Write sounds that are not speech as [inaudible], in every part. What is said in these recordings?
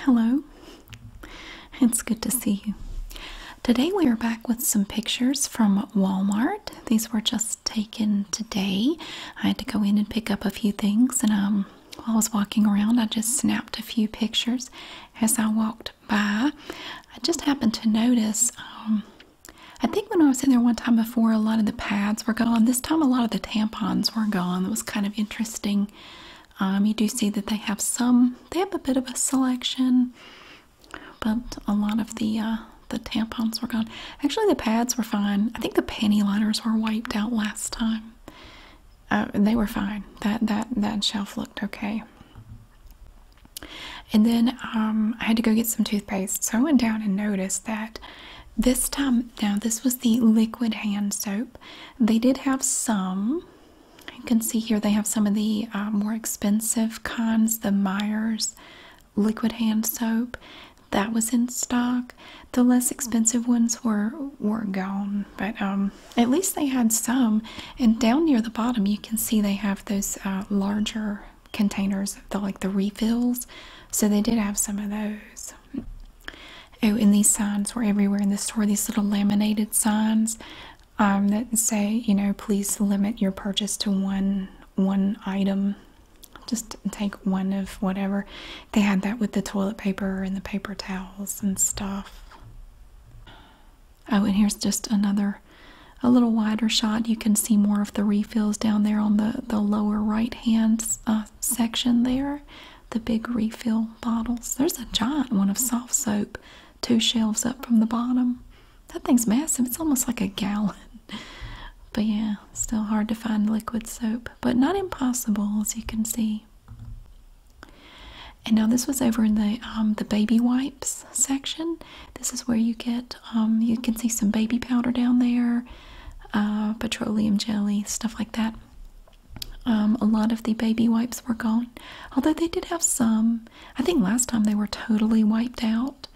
Hello, it's good to see you. Today we are back with some pictures from Walmart. These were just taken today. I had to go in and pick up a few things, and um, while I was walking around, I just snapped a few pictures as I walked by. I just happened to notice. Um, I think when I was in there one time before, a lot of the pads were gone. This time, a lot of the tampons were gone. That was kind of interesting. Um, you do see that they have some, they have a bit of a selection, but a lot of the uh, the tampons were gone. Actually, the pads were fine. I think the panty liners were wiped out last time. Uh, they were fine. That that that shelf looked okay. And then um, I had to go get some toothpaste, so I went down and noticed that this time. Now this was the liquid hand soap. They did have some. You can see here they have some of the uh, more expensive kinds, the Myers liquid hand soap. That was in stock. The less expensive ones were were gone, but um, at least they had some. And down near the bottom, you can see they have those uh, larger containers, like the refills. So they did have some of those oh, and these signs were everywhere in the store. These little laminated signs um, that say, you know, please limit your purchase to one one item. Just take one of whatever. They had that with the toilet paper and the paper towels and stuff. Oh, and here's just another, a little wider shot. You can see more of the refills down there on the, the lower right hands. Uh, section there, the big refill bottles. There's a giant one of soft soap, two shelves up from the bottom. That thing's massive. It's almost like a gallon. [laughs] But yeah, still hard to find liquid soap, but not impossible as you can see. And now this was over in the um, the baby wipes section. This is where you get um, you can see some baby powder down there, uh, petroleum jelly, stuff like that. Um, a lot of the baby wipes were gone, although they did have some. I think last time they were totally wiped out,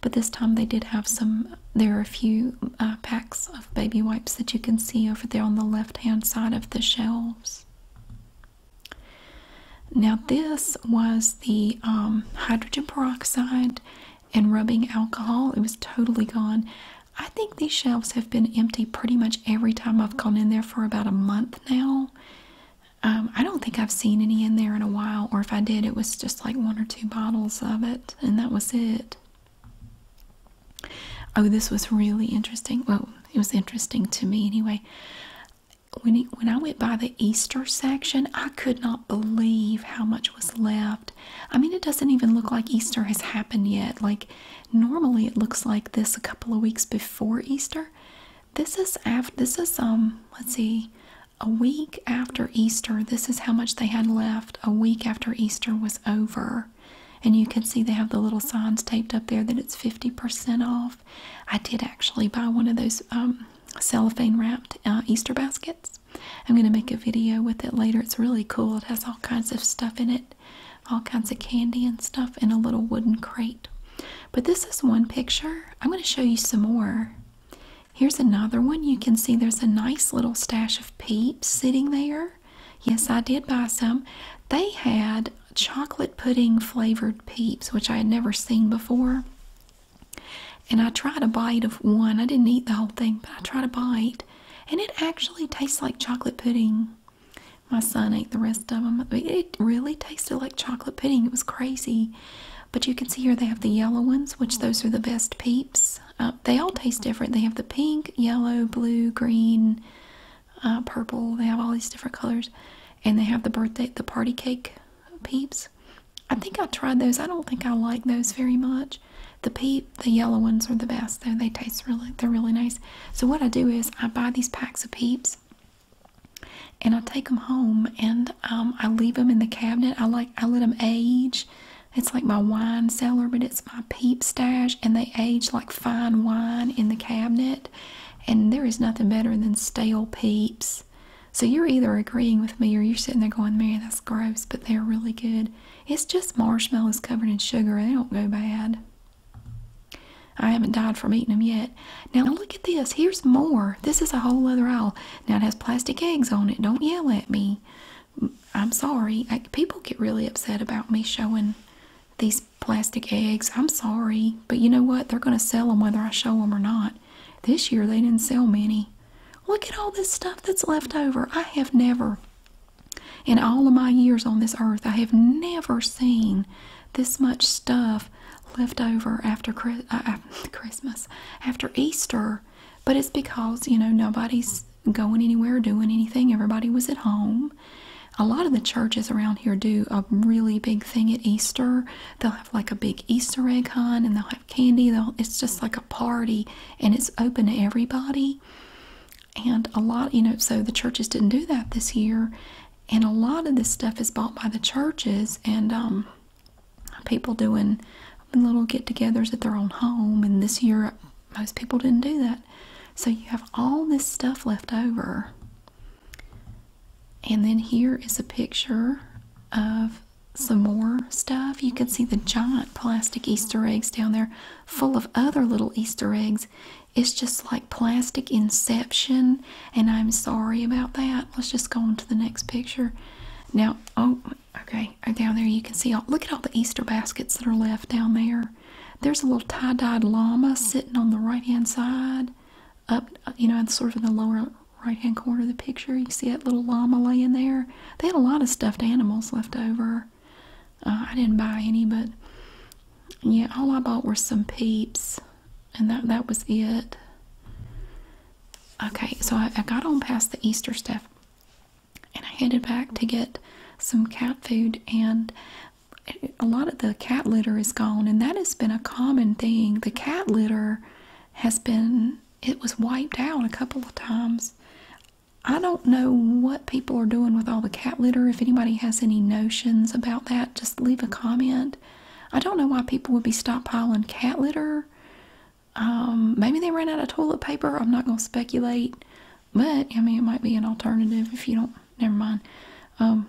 but this time they did have some. There are a few uh, packs of baby wipes that you can see over there on the left hand side of the shelves. Now, this was the um, hydrogen peroxide and rubbing alcohol. It was totally gone. I think these shelves have been empty pretty much every time I've gone in there for about a month now. Um, I don't think I've seen any in there in a while, or if I did, it was just like one or two bottles of it, and that was it. Oh, this was really interesting. Well, it was interesting to me anyway. When, when I went by the Easter section, I could not believe how much was left I mean, it doesn't even look like Easter has happened yet. Like, normally it looks like this a couple of weeks before Easter. This is after, this is, um, let's see, a week after Easter. This is how much they had left a week after Easter was over. And you can see they have the little signs taped up there that it's 50% off. I did actually buy one of those um, cellophane wrapped uh, Easter baskets. I'm going to make a video with it later. It's really cool. It has all kinds of stuff in it, all kinds of candy and stuff in a little wooden crate. But this is one picture. I'm going to show you some more. Here's another one. You can see there's a nice little stash of peeps sitting there. Yes, I did buy some. They had chocolate pudding flavored peeps, which I had never seen before. And I tried a bite of one. I didn't eat the whole thing, but I tried a bite. And it actually tastes like chocolate pudding. My son ate the rest of them. It really tasted like chocolate pudding. It was crazy. But you can see here they have the yellow ones, which those are the best peeps. Uh, they all taste different. They have the pink, yellow, blue, green, uh, purple. They have all these different colors. And they have the birthday, the party cake peeps. I think I tried those. I don't think I like those very much. The peeps, the yellow ones are the best though. They taste really, they're really nice. So what I do is I buy these packs of peeps and I take them home and um, I leave them in the cabinet. I like, I let them age. It's like my wine cellar, but it's my peep stash and they age like fine wine in the cabinet. And there is nothing better than stale peeps. So you're either agreeing with me or you're sitting there going, Mary, that's gross but they're really good. It's just marshmallows covered in sugar. They don't go bad. I haven't died from eating them yet. Now look at this. Here's more. This is a whole other aisle. Now it has plastic eggs on it. Don't yell at me. I'm sorry. people get really upset about me showing these plastic eggs. I'm sorry. But you know what? They're going to sell them whether I show them or not. This year they didn't sell many. Look at all this stuff that's left over. I have never, in all of my years on this earth, I have never seen this much stuff left over after uh, [laughs] Christmas, after Easter. But it's because, you know, nobody's going anywhere, doing anything. Everybody was at home. A lot of the churches around here do a really big thing at Easter. They'll have like a big Easter egg hunt and they'll have Candy, though It's just like a party and it's open to everybody. And a lot, you know, so the churches didn't do that this year. And a lot of this stuff is bought by the churches and um, people doing little get togethers at their own home. And this year, most people didn't do that. So you have all this stuff left over. And then here is a picture of some more stuff. You can see the giant plastic Easter eggs down there full of other little Easter eggs. It's just like plastic inception, and I'm sorry about that. Let's just go on to the next picture. Now, oh, okay, down there you can see, look at all the Easter baskets that are left down there. There's a little tie-dyed llama sitting on the right-hand side, up, you know, sort of in the lower right hand corner of the picture you see that little llama laying there they had a lot of stuffed animals left over uh, i didn't buy any but yeah all i bought were some peeps and that that was it okay so I got on past the easter stuff and i headed back to get some cat food and a lot of the cat litter is gone and that has been a common thing the cat litter has been it was wiped out a couple of times. I don't know what people are doing with all the cat litter. If anybody has any notions about that, just leave a comment. I don't know why people would be stockpiling cat litter. Um, maybe they ran out of toilet paper. I'm not going to speculate. But, I mean, it might be an alternative if you don't. Never mind. Um,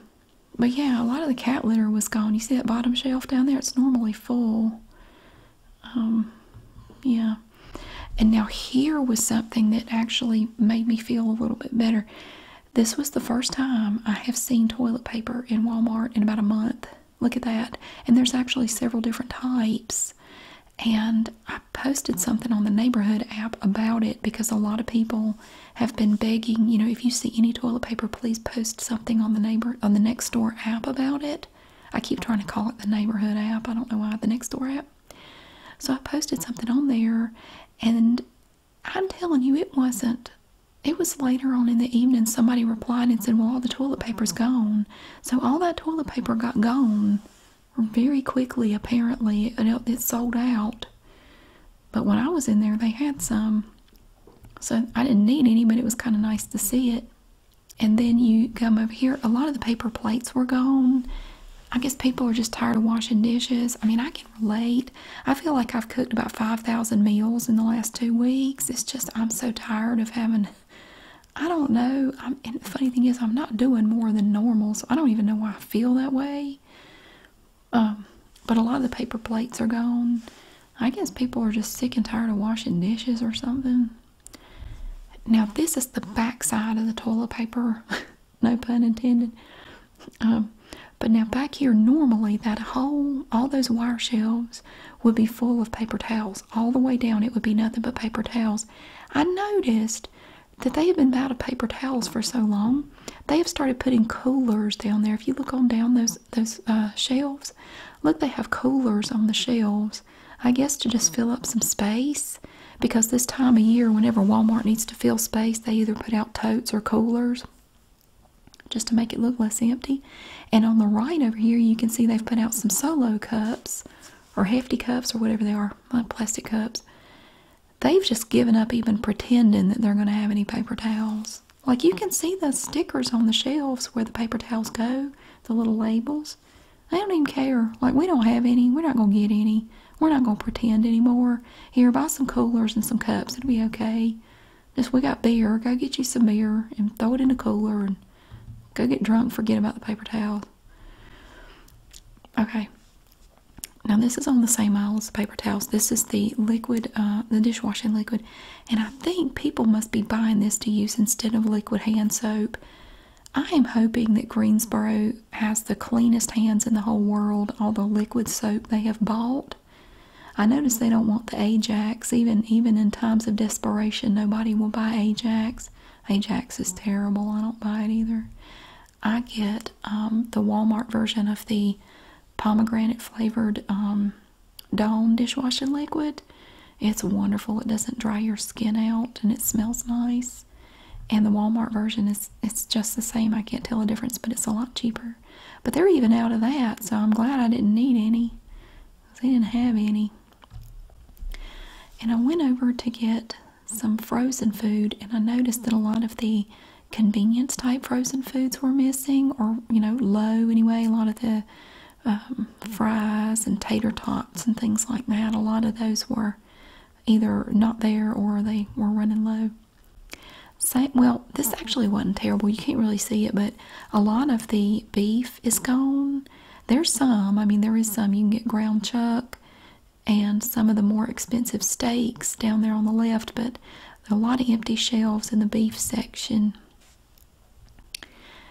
but yeah, a lot of the cat litter was gone. You see that bottom shelf down there? It's normally full. Um, yeah. And now here was something that actually made me feel a little bit better. This was the first time I have seen toilet paper in Walmart in about a month. Look at that. And there's actually several different types. And I posted something on the neighborhood app about it because a lot of people have been begging, you know, if you see any toilet paper, please post something on the neighbor on the next door app about it. I keep trying to call it the neighborhood app. I don't know why the next door app. So I posted something on there, and I'm telling you, it wasn't. It was later on in the evening. Somebody replied and said, "Well, all the toilet paper's gone." So all that toilet paper got gone very quickly. Apparently, it, it sold out. But when I was in there, they had some. So I didn't need any, but it was kind of nice to see it. And then you come over here. A lot of the paper plates were gone. I guess people are just tired of washing dishes. I mean, I can relate. I feel like I've cooked about 5,000 meals in the last two weeks. It's just, I'm so tired of having, I don't know. and the funny thing is, I'm not doing more than normal, so I don't even know why I feel that way. Um, but a lot of the paper plates are gone. I guess people are just sick and tired of washing dishes or something. Now, this is the back side of the toilet paper, [laughs] no pun intended. Um, but now, back here, normally that whole, all those wire shelves would be full of paper towels. All the way down, it would be nothing but paper towels. I noticed that they have been out of paper towels for so long, they have started putting coolers down there. If you look on down those those uh, shelves. Look, they have coolers on the shelves. I guess to just fill up some space because this time of year, whenever Walmart needs to fill space, they either put out totes or coolers just to make it look less empty. And on the right over here, you can see they've put out some solo cups or hefty cups or whatever they are, like uh, plastic cups. They've just given up even pretending that they're going to have any paper towels. Like you can see those stickers on the shelves where the paper towels go, the little labels. I don't even care. Like we don't have any. We're not gonna get any. We're not gonna pretend anymore. Here, buy some coolers and some cups. It'll be okay. Just we got beer. Go get you some beer and throw it in the cooler and go get drunk. Forget about the paper towels. Okay. Now this is on the same aisle as the paper towels. This is the liquid, uh, the dishwashing liquid. And I think people must be buying this to use instead of liquid hand soap. I am hoping that Greensboro has the cleanest hands in the whole world, all the liquid soap they have bought. I notice they don't want the Ajax. Even even in times of desperation, nobody will buy Ajax. Ajax is terrible. I don't buy it either. I get um, the Walmart version of the pomegranate flavored um, Dawn dishwashing liquid. It's wonderful. It doesn't dry your skin out and it smells nice. And the Walmart version is it's just the same. I can't tell a difference, but it's a lot cheaper. But they're even out of that, so I'm glad I didn't need any. They didn't have any. And I went over to get some frozen food and I noticed that a lot of the convenience type frozen foods were missing, or you know, low anyway. A lot of the um, fries and tater tots and things like that, a lot of those were either not there or they were running low. Same, well, this actually wasn't terrible. You can't really see it, but a lot of the beef is gone. There's some, I mean, there is some. You can get ground chuck and some of the more expensive steaks down there on the left, but a lot of empty shelves in the beef section.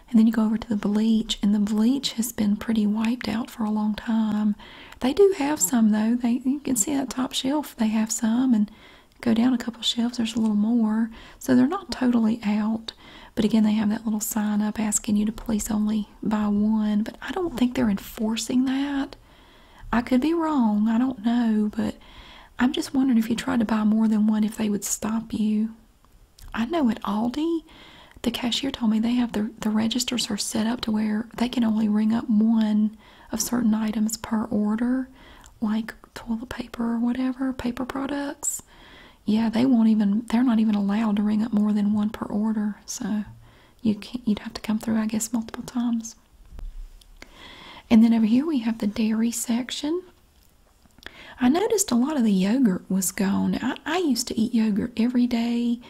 And then you go over to the bleach, and the bleach has been pretty wiped out for a long time. They do have some though. They you can see that top shelf they have some, and go down a couple shelves there's a little more. So they're not totally out. But again, they have that little sign up asking you to please only buy one. But I don't think they're enforcing that. I could be wrong, I don't know, but I'm just wondering if you tried to buy more than one if they would stop you. I know at Aldi, the cashier told me they have the, the registers are set up to where they can only ring up one of certain items per order, like toilet paper or whatever, paper products. Yeah, they won't even, they're not even allowed to ring up more than one per order, so you can't, you'd have to come through, I guess, multiple times. And then over here we have the dairy section. I noticed a lot of the yogurt was gone. I, used to eat yogurt every day,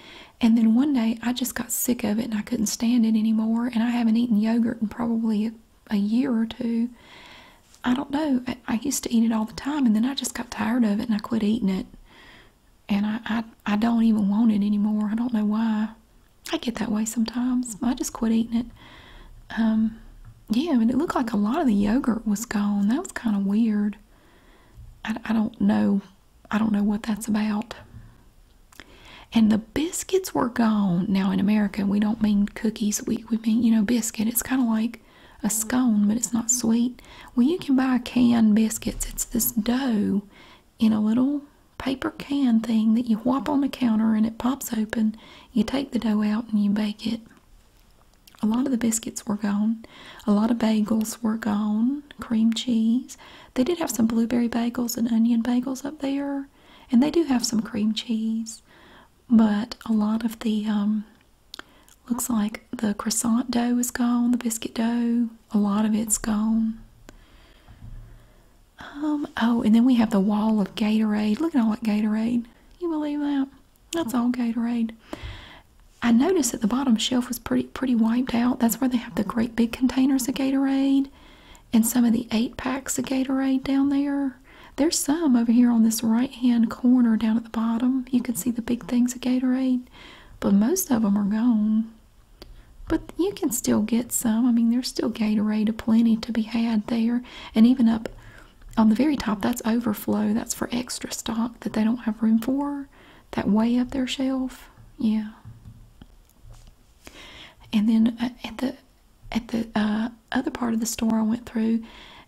and then one day I just got sick of it and I couldn't stand it anymore. And I haven't eaten yogurt in probably a, year or two. I don't know. I, used to eat it all the time, and then I just got tired of it and I quit eating it. And I, I, I don't even want it anymore. I don't know why. I get that way sometimes. I just quit eating it. Um, yeah, but it looked like a lot of the yogurt was gone. That was kind of weird. I, I don't know. I don't know what that's about. And the biscuits were gone. Now in America, we don't mean cookies. We, we mean, you know, biscuit. It's kind of like a scone, but it's not sweet. Well, you can buy canned biscuits. It's this dough in a little paper can thing that you whop on the counter and it pops open. You take the dough out and you bake it. A lot of the biscuits were gone. A lot of bagels were gone. Cream cheese. They did have some blueberry bagels and onion bagels up there. And they do have some cream cheese. But a lot of the, um, looks like the croissant dough is gone, the biscuit dough. A lot of it's gone. Um, oh, and then we have the wall of Gatorade. Look at all that Gatorade. You believe that? That's all Gatorade. I noticed that the bottom shelf was pretty pretty wiped out. That's where they have the great big containers of Gatorade and some of the eight packs of Gatorade down there. There's some over here on this right hand corner down at the bottom. You can see the big things of Gatorade, but most of them are gone. But you can still get some. I mean, there's still Gatorade aplenty to be had there. And even up on the very top, that's overflow. That's for extra stock that they don't have room for. That way up their shelf. Yeah. And then uh, at the at the uh, other part of the store I went through,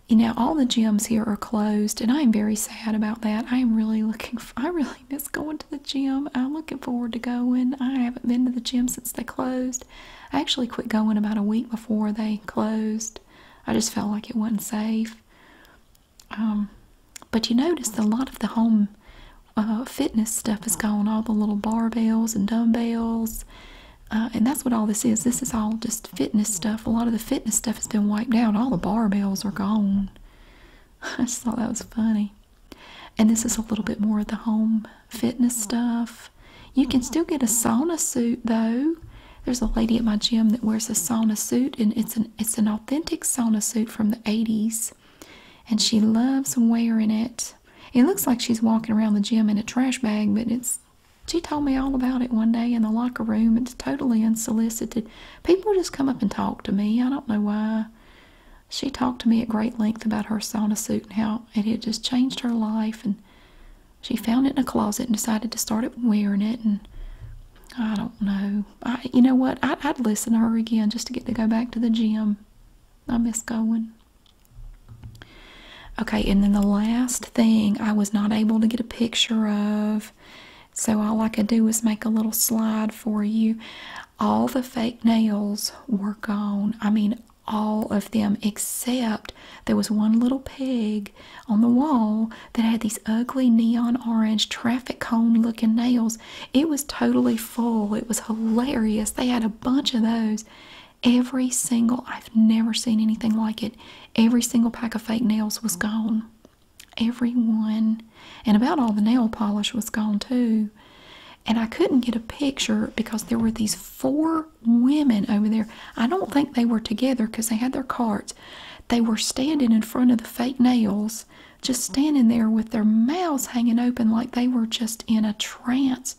you know, all the gyms here are closed, and I am very sad about that. I am really looking. I really feeling going to the gym. I'm looking forward to going. I haven't been to the gym since they closed. I actually quit going about a week before they closed. I just felt like it wasn't safe. Um, but you notice a lot of the home uh, fitness stuff is gone. All the little barbells and dumbbells. Uh, and that's what all this is. This is all just fitness stuff. A lot of the fitness stuff has been wiped out. All the barbells are gone. [laughs] I just thought that was funny. And this is a little bit more of the home fitness stuff. You can still get a sauna suit though. There's a lady at my gym that wears a sauna suit and it's an it's an authentic sauna suit from the 80s. And she loves wearing it. It looks like she's walking around the gym in a trash bag, but it's she told me all about it one day in the locker room. It's totally unsolicited. People just come up and talk to me. I don't know why. She talked to me at great length about her sauna suit and how it had just changed her life. And she found it in a closet and decided to start wearing it. And I don't know. I, you know what? I, I'd listen to her again just to get to go back to the gym. I miss going. Okay, and then the last thing I was not able to get a picture of so all I could do was make a little slide for you. All the fake nails were gone. I mean, all of them except there was one little peg on the wall that had these ugly neon orange traffic cone looking nails. It was totally full. It was hilarious. They had a bunch of those. Every single, I've never seen anything like it. Every single pack of fake nails was gone everyone, and about all the nail polish was gone too. And I couldn't get a picture because there were these four women over there. I don't think they were together because they had their carts. They were standing in front of the fake nails, just standing there with their mouths hanging open like they were just in a trance,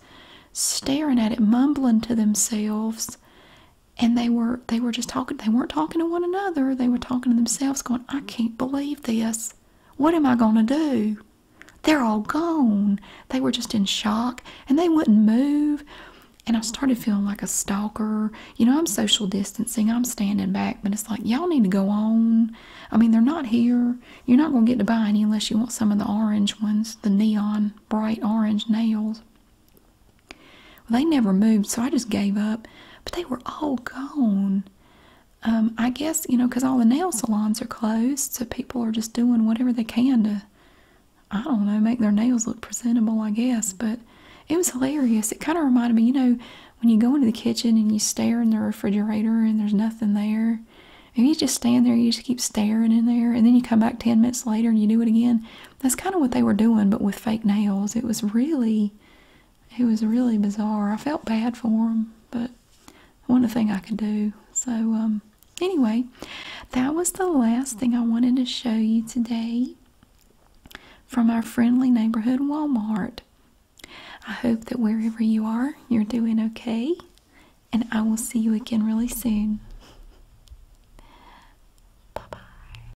staring at it, mumbling to themselves. And they were they were just talking they weren't talking to one another. They were talking to themselves, going, I can't believe this. What am I going to do? They're all gone. They were just in shock and they wouldn't move. And I started feeling like a stalker. You know, I'm social distancing, I'm standing back, but it's like, y'all need to go on. I mean, they're not here. You're not going to get to buy any unless you want some of the orange ones, the neon bright orange nails they never moved, so I just gave up. But they were all gone. Um, I guess, you know, because all the nail salons are closed, so people are just doing whatever they can to, I don't know, make their nails look presentable, I guess. But it was hilarious. It kind of reminded me, you know, when you go into the kitchen and you stare in the refrigerator and there's nothing there. And you just stand there, you just keep staring in there, and then you come back 10 minutes later and you do it again. That's kind of what they were doing, but with fake nails. It was really it was really bizarre. I felt bad for him, but one thing I could do. So, um, anyway, that was the last thing I wanted to show you today from our friendly neighborhood Walmart. I hope that wherever you are, you're doing okay, and I will see you again really soon. Bye bye.